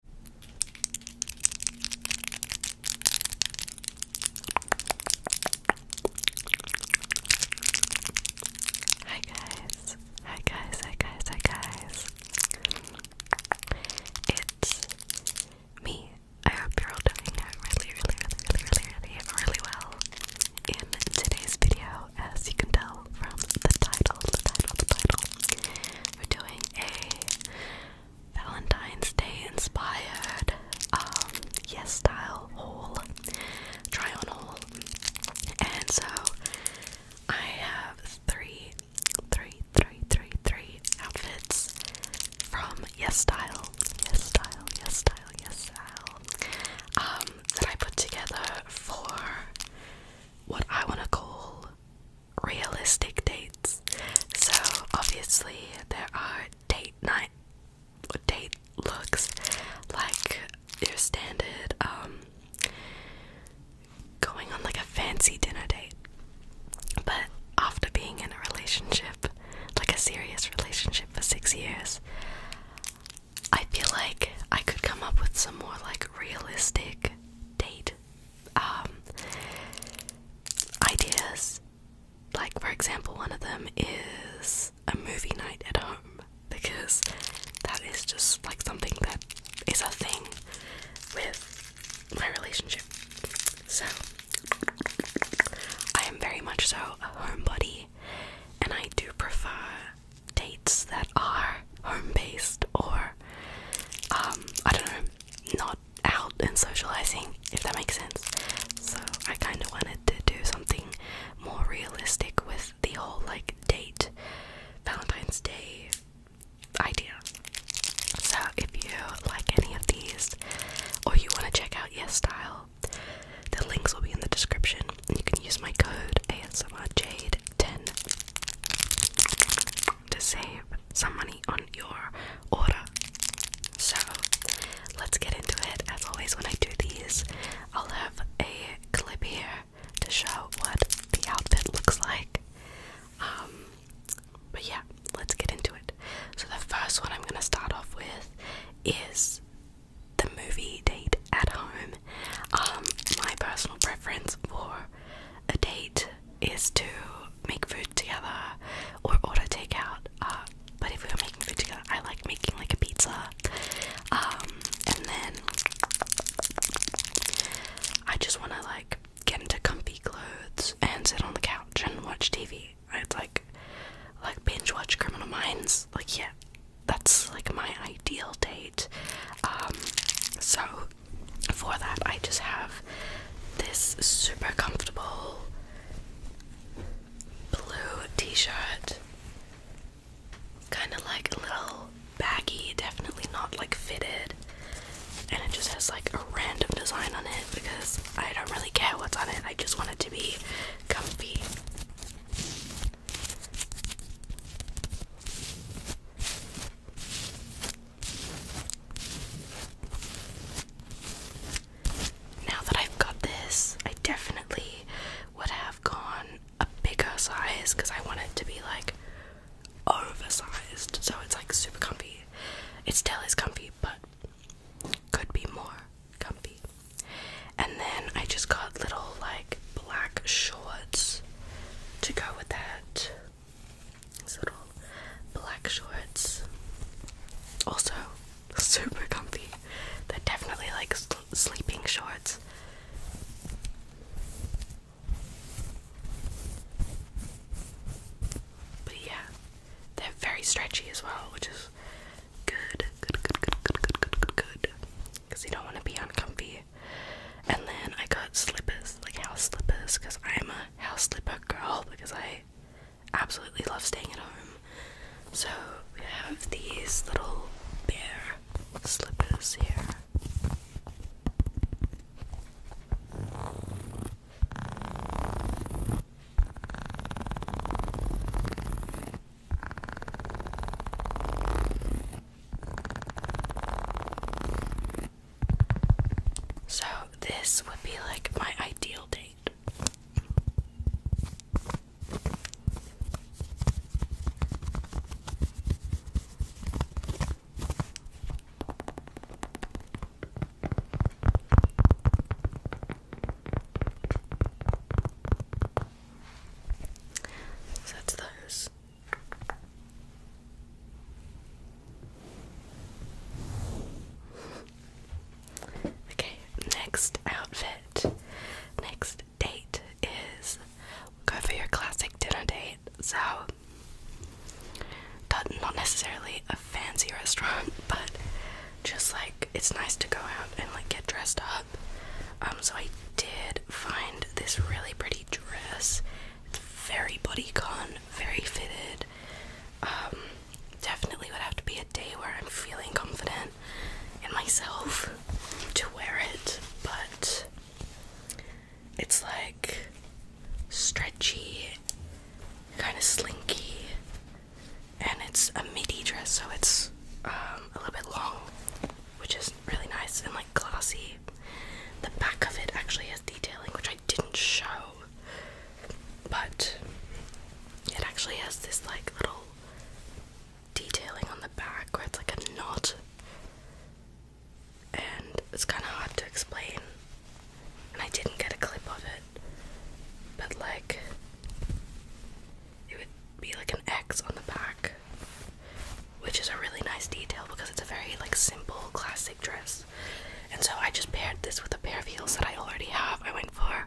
Hi guys, hi guys, hi guys, hi guys. It's me. I hope you're all doing really, really, really, really, really, really, well. In today's video, as you can tell from the title, the title, the title, we're doing a Valentine's Day inspired um yes style haul try on haul and so I have three three three three three outfits from yes style yes style yes style yes style um that I put together for what I wanna call realistic dates. So obviously there are date night date looks like your standard um going on like a fancy dinner date. But after being in a relationship, like a serious relationship for 6 years, I feel like I could come up with some more like realistic date um, ideas. Like, for example, one of them is a movie night at home because that is just like something that is a thing with my relationship. So, I am very much so a homebody and I do prefer dates that are home based or um, I don't know, not out and socializing, if that makes sense. So I kind of wanted to do something more realistic with the whole like date Valentine's Day idea. So if you like any of these or you want to check out Yes Style, the links will be in the description you can use my code ASMRJade10 to save some money on your order. So let's get into it. As always, when I do these, I'll have a clip here to show what the outfit looks like. Um, but yeah, let's get into it. So the first one I'm gonna start off with is the movie date at home. Um, my personal preference for a date is to make food together or order takeout. Uh, but if we are making food together, I like making like a pizza. Um, and then I just want to like get into comfy clothes and sit on the couch and watch TV. I'd like like binge watch Criminal Minds. Like yeah, that's like my ideal date. Um, so for that, I just have this super comfortable blue t-shirt, kind of like a little baggy, definitely not like fitted, and it just has like a random design on it because I don't really care what's on it. I just want it to be comfy. Now that I've got this, I definitely would have gone a bigger size because I want it to be like oversized so it's like super comfy. It still is comfy, but could be more comfy. And then I just got little like black shorts to go with that. These little black shorts. Also super comfy. They're definitely like sleeping shorts. But yeah, they're very stretchy as well, which is good, good, good, good, good, good, good, good, Because you don't want to be uncomfortable. And then I got slippers, like house slippers, because I'm a house slipper girl, because I absolutely love staying at home. So we have these little bear slippers here. So, this would be like my ideal date. So that's those. okay, next outfit, next date is go for your classic dinner date. So, not necessarily a fancy restaurant, but just like it's nice to go out and like get dressed up. Um, so I did find this really pretty dress. It's very bodycon, very fitted. Um, definitely would have to be a day where I'm feeling confident in myself to wear it, but it's like stretchy, kind of slinky, and it's a midi dress, so it's um, a little bit long, which is really nice and like classy. The back of it actually has detailing, which I didn't show, but it actually has this like little detailing on the back where it's like a knot, and it's kind of hard to explain and I didn't get a clip of it. But like it would be like an X on the back. Which is a really nice detail because it's a very like simple classic dress. And so I just paired this with a pair of heels that I already have. I went for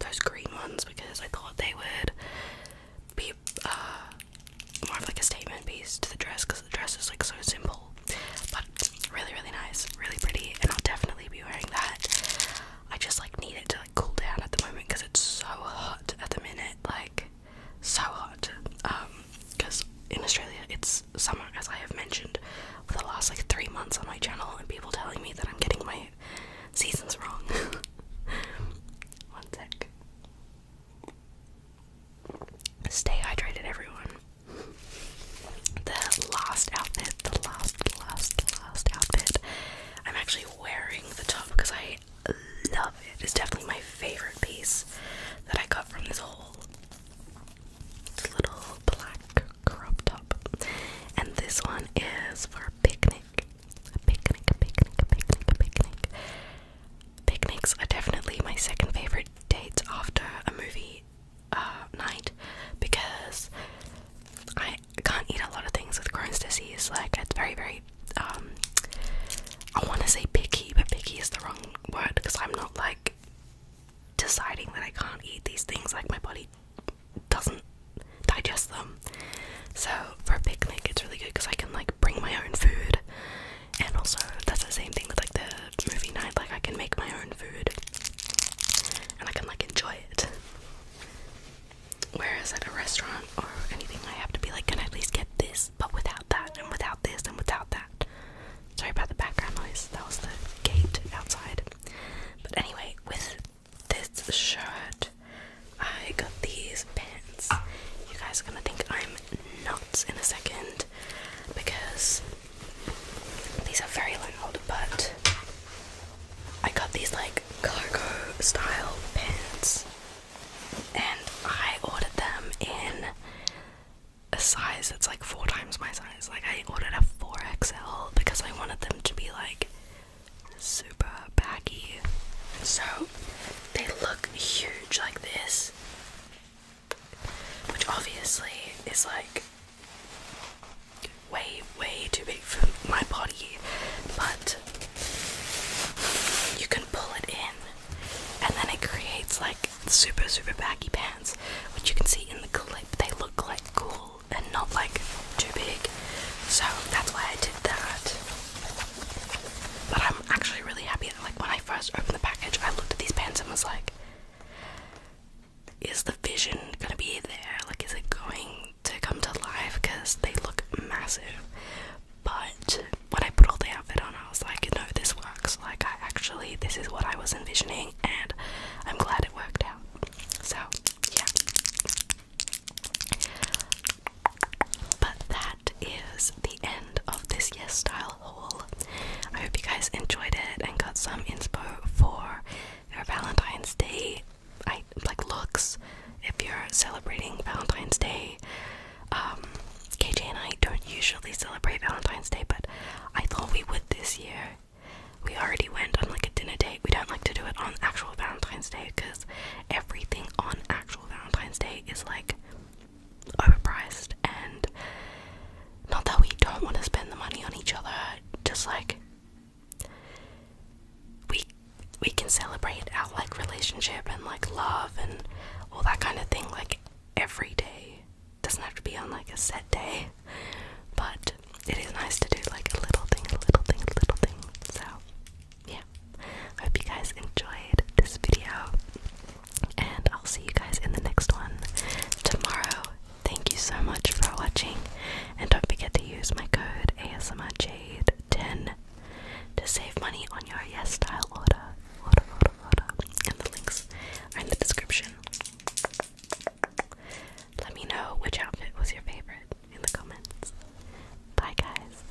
those green ones because I thought they would be uh, more of like a statement piece to the dress because the dress is like so simple, but Really, really nice, really pretty, and I'll definitely be wearing that. I just like need it to like cool down at the moment because it's so hot at the minute, like so hot. Um, because in Australia it's summer, as I have mentioned for the last like three months on my channel, and people telling me that I'm getting my seasons wrong. One sec. Stay hydrated, everyone. The last outfit, the last, last, last outfit. I'm actually wearing the top because I love it. It's definitely my favorite piece that I got from this whole little black crop top. And this one is for a picnic. picnic, picnic, picnic, picnic. Picnics are definitely my second favorite date after a movie uh, night because I can't eat a lot of things with Crohn's disease. Like it's very, very. Um, I want to say picky, but picky is the wrong word because I'm not like deciding that I can't eat these things. Like my body doesn't digest them. So for a picnic, it's really good because I can like bring my own food, and also that's the same thing with like the movie night. Like I can make my own food and I can like enjoy it. Whereas at a restaurant or anything, I have to be like, can I at least get this, but without that, and without this, and without that. Sorry about the background noise. That was the gate outside. But anyway, with this shirt, I got these pants. You guys are gonna think I'm nuts in a second, because these are very loud, but I got these like cargo style pins, and I ordered them in a size that's like four times my size. Like, I ordered a 4XL because I wanted them to be like super baggy. So, they look huge like this, which obviously is like way, way too big for my body, but you can pull it in and then it creates like super, super baggy pants, which you can see in the clip. They look like cool and not like too big, so that's why I did that. But I'm actually really happy like when I first opened the package, I looked at these pens and was like, is the vision gonna be there? Like, is it going to come to life? Because they look massive. But when I put all the outfit on, I was like, no, this works. Like, I actually, this is what I was envisioning, and I'm glad it worked out. So, yeah. But that is the end of this Yes Style I hope you guys enjoyed it and got some inspo for your Valentine's Day. like looks if you're celebrating Valentine's Day. Um, KJ and I don't usually celebrate Valentine's Day, but I thought we would this year. We already went on like a dinner date. We don't like to do it on actual Valentine's Day because everything on actual Valentine's Day is like overpriced and not that we don't want to spend the money on each other, just like we we can celebrate our like relationship and like love and all that kind of thing like every day. Doesn't have to be on like a set day. But it is nice to do like a little thing, a little thing, a little thing. So yeah. I hope you guys enjoyed this video and I'll see you guys in the next one tomorrow. Thank you so much for watching, and don't forget to use my code ASMRJade10 to save money on your Yes Style order. order. And the links are in the description. Let me know which outfit was your favorite in the comments. Bye, guys.